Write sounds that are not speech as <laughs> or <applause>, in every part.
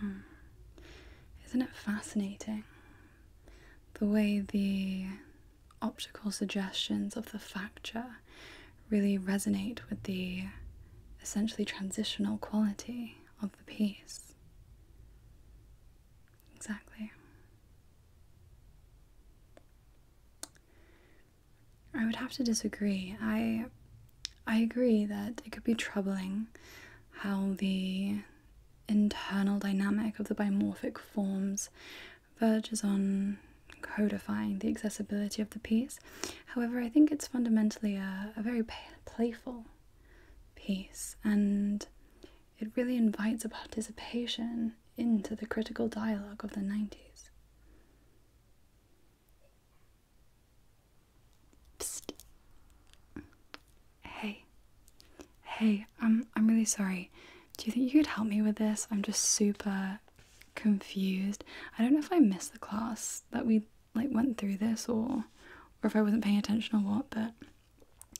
Hmm. Isn't it fascinating the way the optical suggestions of the facture really resonate with the essentially transitional quality of the piece? Exactly. I would have to disagree. I I agree that it could be troubling how the internal dynamic of the bimorphic forms verges on codifying the accessibility of the piece. However, I think it's fundamentally a, very playful piece and it really invites a participation into the critical dialogue of the 90s. Psst. Hey. Hey, um, I'm really sorry. Do you think you could help me with this? I'm just super confused. I don't know if I missed the class that we like went through this or or if I wasn't paying attention or what, but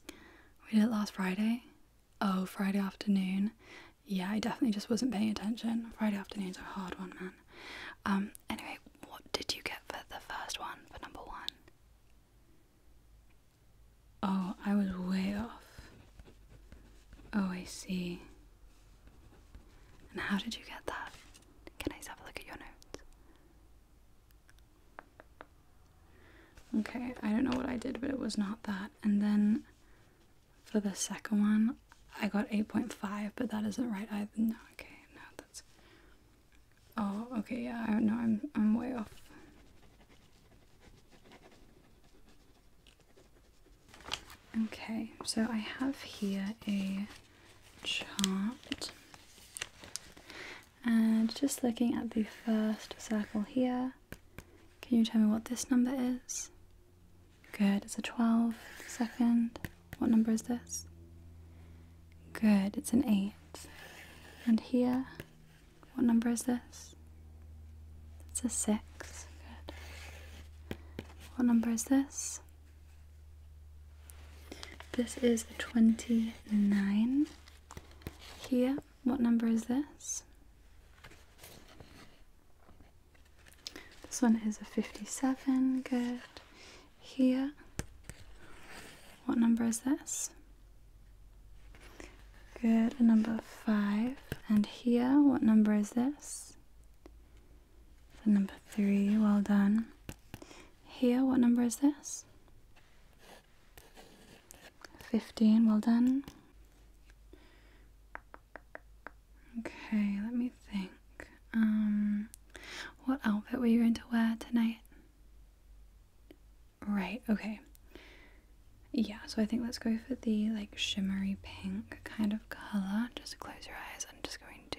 we did it last Friday. Oh, Friday afternoon. Yeah, I definitely just wasn't paying attention. Friday afternoons are a hard one, man. Um, anyway, what did you get for the first one, for number one? Oh, I was way off. Oh, I see. And how did you get that? Can I just have a look at your notes? Okay, I don't know what I did, but it was not that. And then for the second one, I got 8.5, but that isn't right either. No, okay, no, that's. Oh, okay, yeah, I no, I'm I'm way off. Okay, so I have here a chart. And just looking at the first circle here, can you tell me what this number is? Good, it's a 12. Second, what number is this? Good, it's an 8. And here, what number is this? It's a 6. Good. What number is this? This is 29 here. What number is this? This one is a 57. Good. Here. What number is this? Good. number 5. And here, what number is this? for number three. Well done. Here, what number is this? 15. Well done. Okay, let me think. Um, what outfit were you going to wear tonight? Right, okay. Yeah, so I think let's go for the like shimmery pink kind of color. Just close your eyes. I'm just going to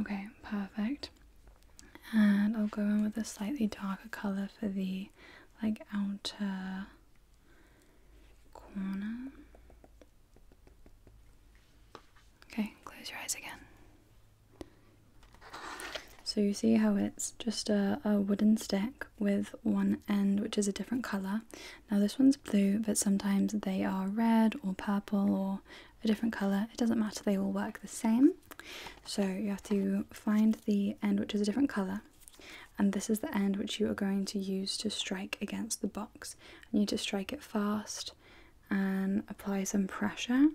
Okay, perfect. And I'll go in with a slightly darker color for the like outer corner. Okay, close your eyes again. So you see how it's just a, wooden stick with one end which is a different colour. Now this one's blue but sometimes they are red or purple or a different colour, it doesn't matter, they all work the same. So you have to find the end which is a different colour, and this is the end which you are going to use to strike against the box. You need to strike it fast and apply some pressure.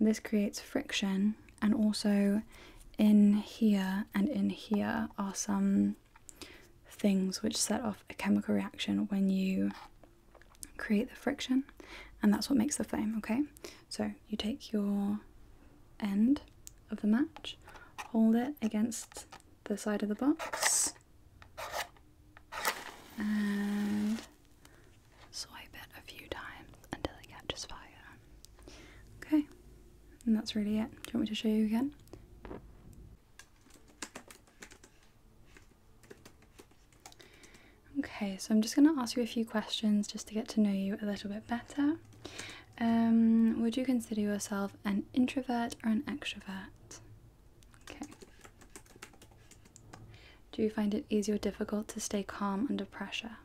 this creates friction, and also in here and in here are some things which set off a chemical reaction when you create the friction and that's what makes the flame okay so you take your end of the match hold it against the side of the box and swipe it a few times until it catches fire okay and that's really it do you want me to show you again Okay, so I'm just going to ask you a few questions just to get to know you a little bit better. Um, would you consider yourself an introvert or an extrovert? Okay. Do you find it easy or difficult to stay calm under pressure?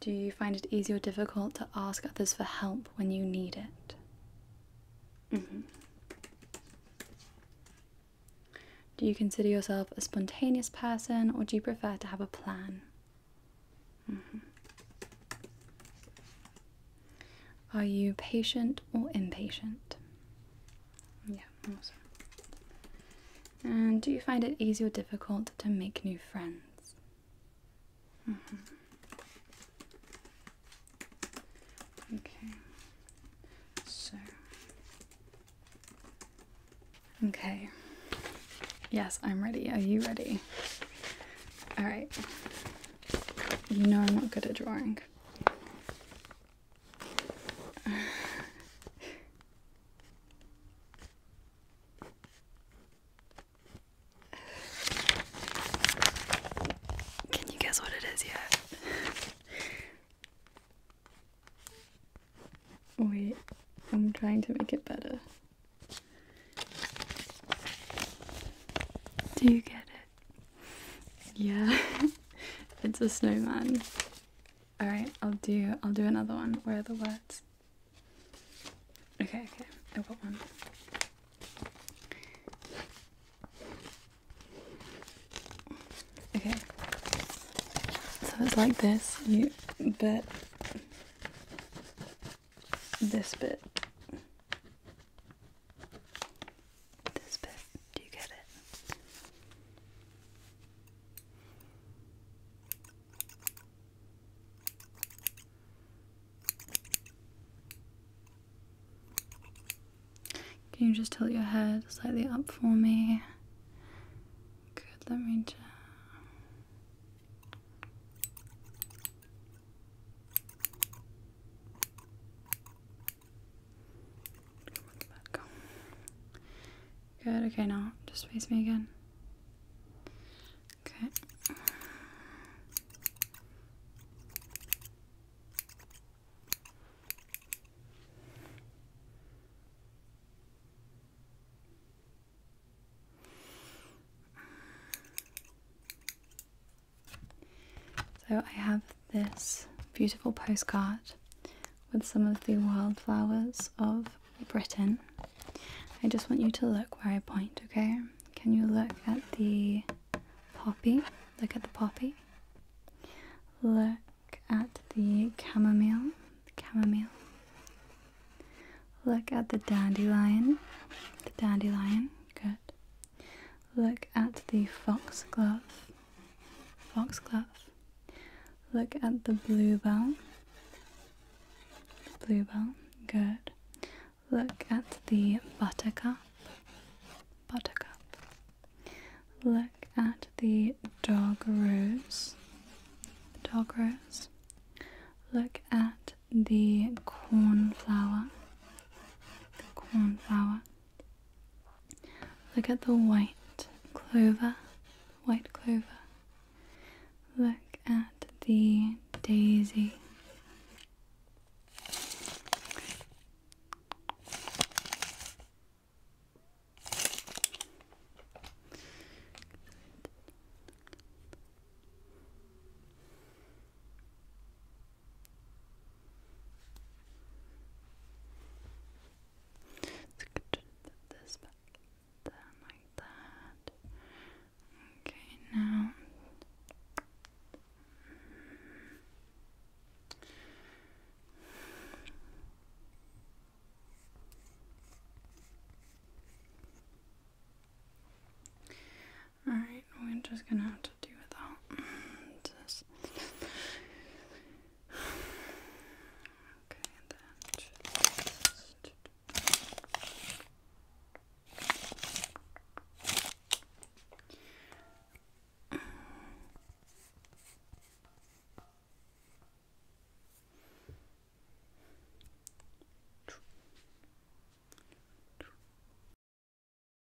Do you find it easy or difficult to ask others for help when you need it? Mm-hmm. Do you consider yourself a spontaneous person or do you prefer to have a plan? Mm-hmm. Are you patient or impatient? Yeah, And do you find it easy or difficult to make new friends? Mm -hmm. Okay. So. Okay. Yes, I'm ready. Are you ready? All right. You know I'm not good at drawing. Can you guess what it is yet? Wait, I'm trying to make it better. Do you get it? Yeah, <laughs> it's a snowman. Alright, I'll do I'll do another one. Where are the words? Okay, okay, i got one. Okay, so it's like this, you, but this bit. This bit, do you get it? Can you just tilt your head slightly up for me? Good, let me just. Good. Okay, now just face me again. Okay. So I have this beautiful postcard with some of the wildflowers of Britain. I just want you to look where I point, okay? Can you look at the poppy? Look at the poppy. Look at the chamomile. The chamomile. Look at the dandelion. The dandelion. Good. Look at the foxglove foxglove. Look at the bluebell. Bluebell, good. Look at the buttercup. Buttercup. Look at the dog rose. Dog Look at the cornflower. The cornflower. Look at the white clover, white clover. Look at the daisy. Let's get this back down like that. Okay, now all right, we're just gonna have to to do without mm, this.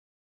Okay,